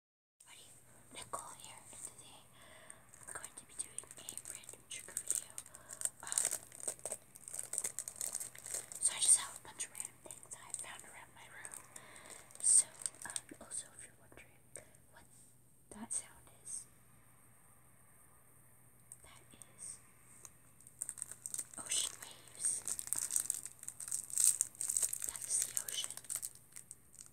Everybody, here, and today we're going to be doing a brand trigger video. Um, so I just have a bunch of random things I found around my room. So, um, also if you're wondering what that sound is, that is ocean waves. that is the ocean.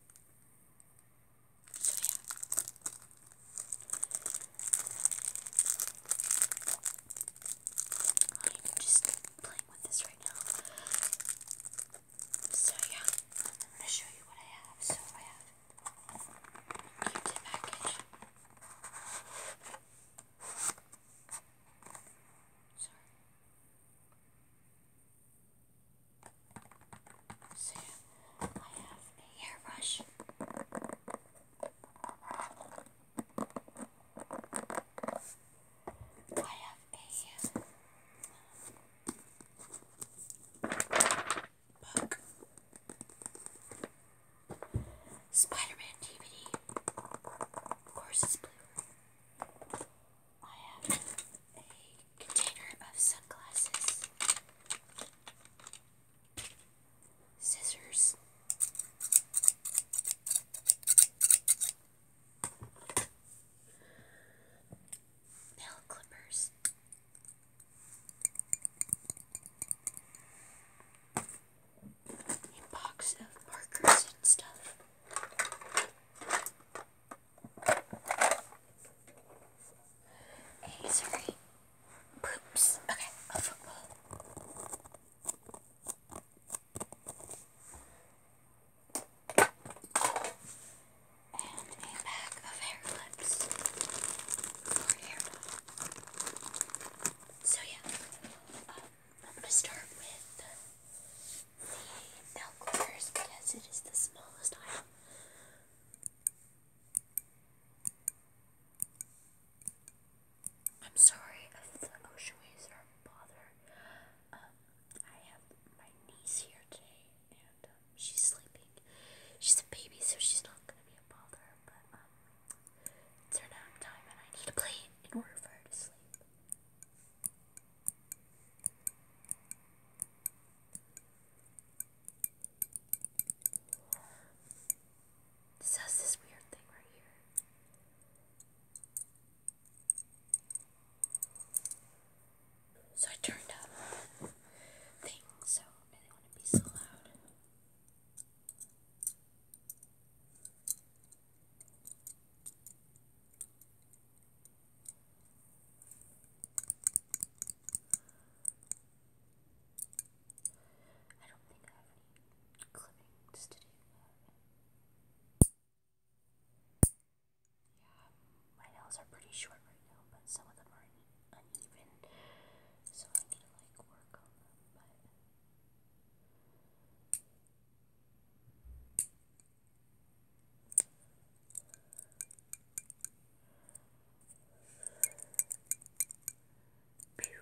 So yeah. I'm oh, just playing with this right now. So yeah, I'm gonna show you what I have. So I have a gift package. Sorry. So I have a hairbrush. I have a um, book. Spider-Man DVD. Of course it's blue. I have a container of sunglasses, scissors, nail clippers. A box of markers and stuff. Hey, sorry. Poops. Okay, a football. And a bag of hair clips for hair. So yeah, um, I'm gonna start with the milk because it is the smallest aisle. I'm sorry if the ocean waves are a Um, I have my niece here today, and um, she's sleeping. She's a baby, so she's not gonna be a bother. But um, it's her nap time, and I need to play in order for her to sleep. This this weird thing right here. So I turned up the so I did want to be so loud. I don't think I have any clippings to do Yeah, my nails are pretty short right now, but some of them are uneven, so I need to like work on them, but. Pew. Yeah,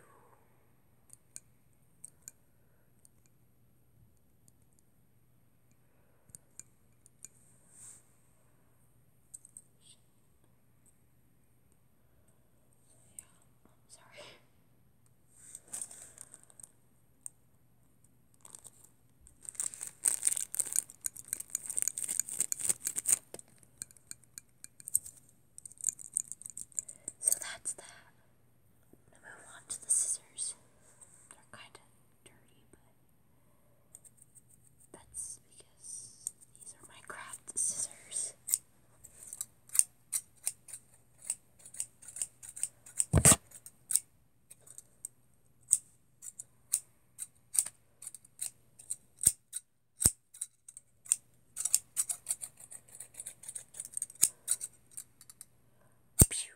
I'm sorry. So that's that. Now move on to the scissors. They're kind of dirty, but that's because these are my craft scissors. Pew.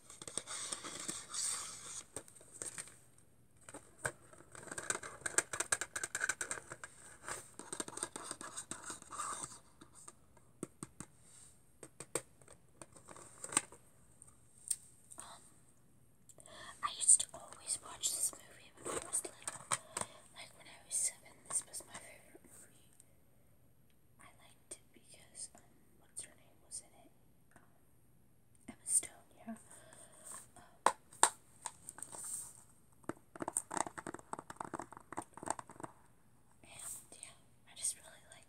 Um, I used to always watch this movie when I was little. Like when I was seven, this was my favorite movie. I liked it because um, what's her name was in it? Um, Emma Stone, yeah. Um, yeah, I just really like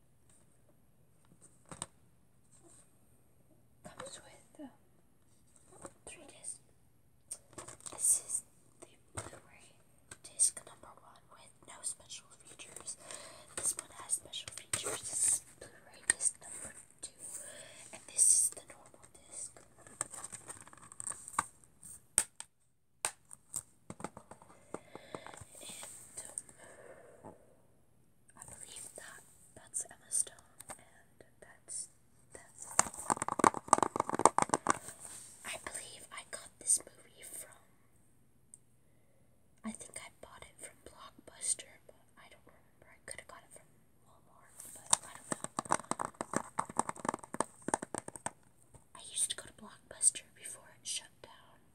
Comes with um, three discs. This is the Blu-ray disc number one with no special features. This one has special features. This is Blu-ray disc number two, and this is the normal disc. Um, I believe that that's Emma Stone, and that's that's. I believe I got this movie from. I think I bought it from Blockbuster, but I don't remember. I could have got it from Walmart, but I don't know. I used to go to Blockbuster before it shut down.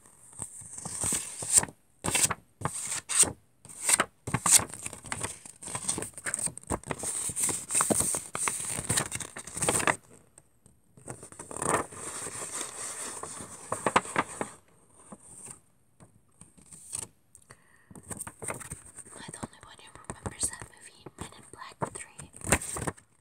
Am I the only one who remembers that movie, Men in Black 3?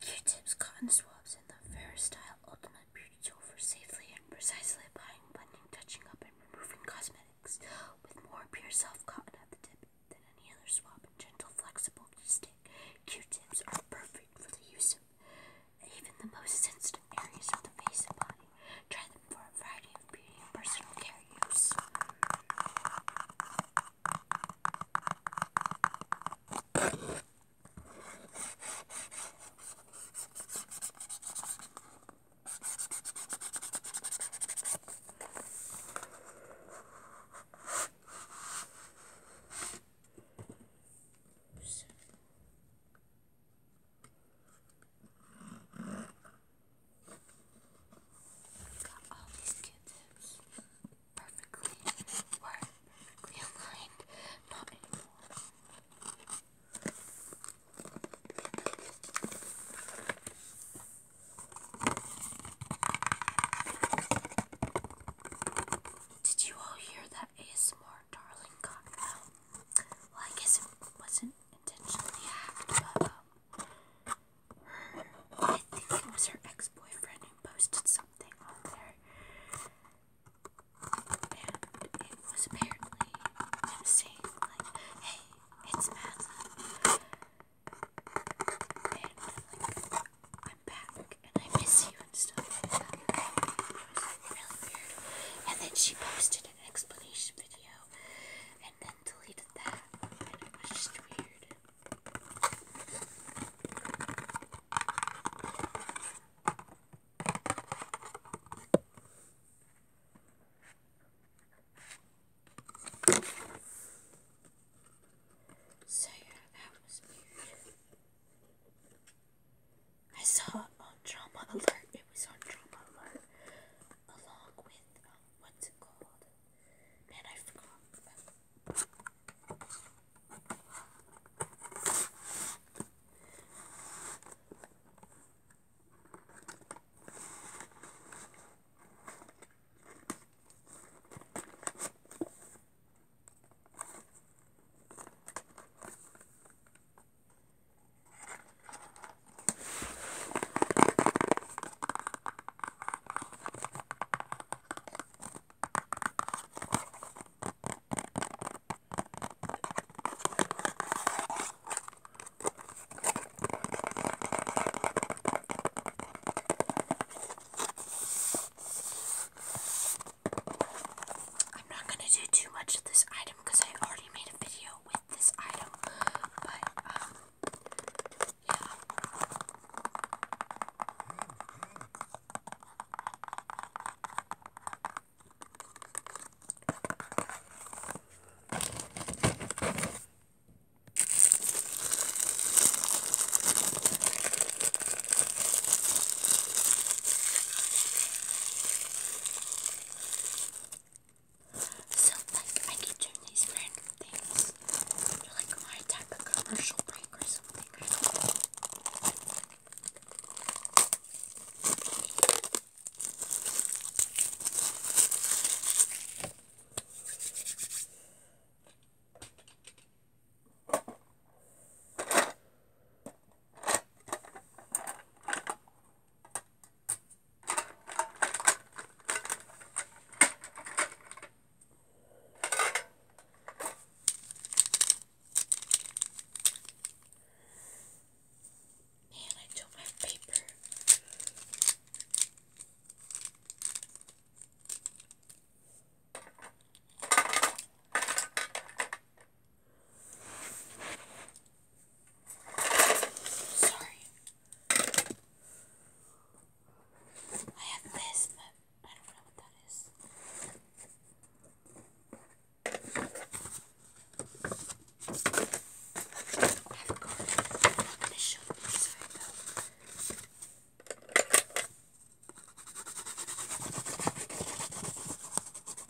Q-tips, cotton swabs, and the Fair Style Ultimate Beauty Tool for safely and precisely applying, blending, touching up, and removing cosmetics with more pure soft cotton at the tip than any other swab and gentle, flexible stick. Q-tips are perfect for the use of even the most sensitive areas of the face and body. Try them for a variety of beauty and personal care use. Got all these q perfectly, were perfectly Did you all hear that ASMR darling got out? Well, I guess it wasn't intentionally hacked, but her, I think it was her ex-boyfriend who posted something on there, and it was apparently him saying like, "Hey, it's Madeline, and like, I'm back, and I miss you and stuff." Like It was really weird, and then she posted explanation video and then deleted that, it was just weird. So yeah, that was weird. I saw on Drama Alert. It was on Drama Alert, along with um, what's it called? Man, I forgot. I'm not going to do too much of this item because I already made a video with this item, but um, yeah. So like I keep doing these random things. They're like when I tap commercial break or something. Man, I took my paper. Sorry. I have this, but I don't know what that is. I have a card. I'm not going to show you this right now.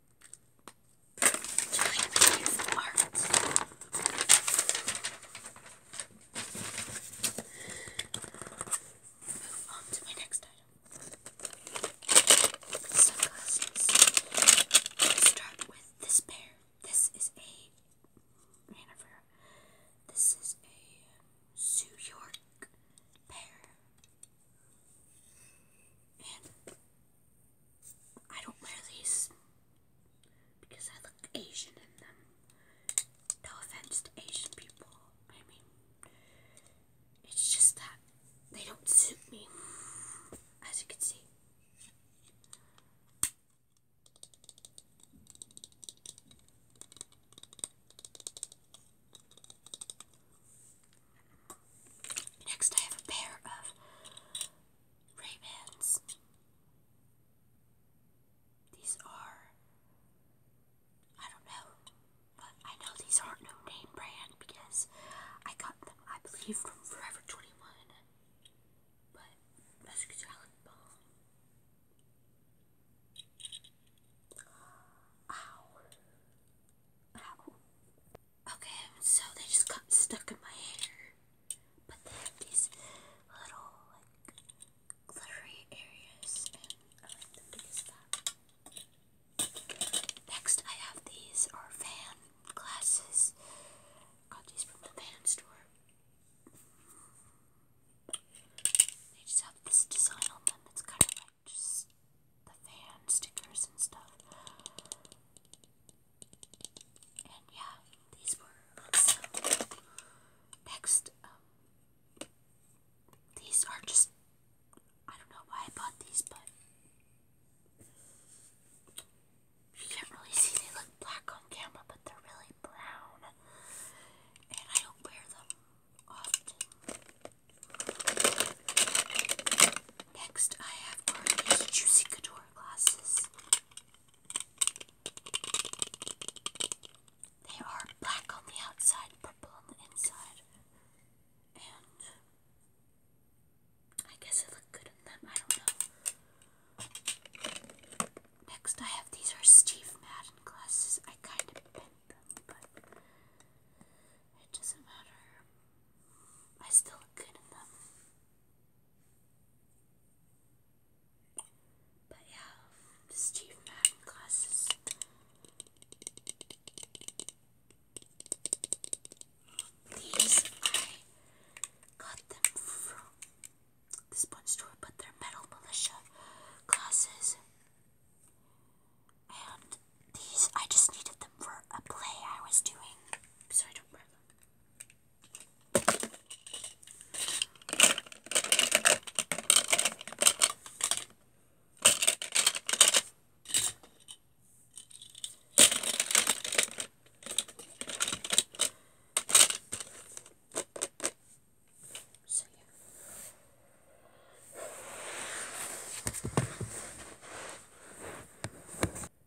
to my next item. Let's start with this pair. This is a Hanover. This is a New York pair. I don't wear these because I look Asian in them. No offense to Asian people. I mean, it's just that they don't suit me, as you can see. Next, I have a pair of Ray-Bans. These are, I don't know, but I know these aren't no name brand because I got them, I believe, from Forever 21. But that's a salad bomb. Ow. Ow. Okay, so they just got stuck in my hair. But they have these little, like, glittery areas, Next, I have these, are fan glasses. Got these from the fan store. They just have this design on them that's kind of like just the fan stickers and stuff. And yeah, these were next. Um, these are just I don't know why I bought these, but you can't really see they look black on camera, but they're really brown, and I don't wear them often. Next, I have Army's Juicy Couture glasses. They are black on the outside, purple on the inside, and I guess I look good in them. I don't know. Next, I have these are Steve Madden glasses. I kind of bent them, but it doesn't matter. I still look good in them. But yeah, this Chief Madden glasses. These I got them from this one store, but they're metal militia glasses. And these, I just needed them for a play I was doing, so I don't wear them. So, yeah.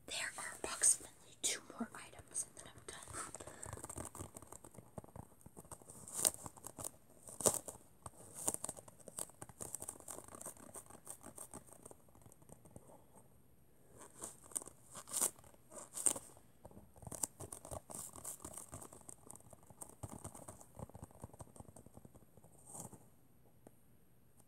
There are approximately two more items and then I'm done.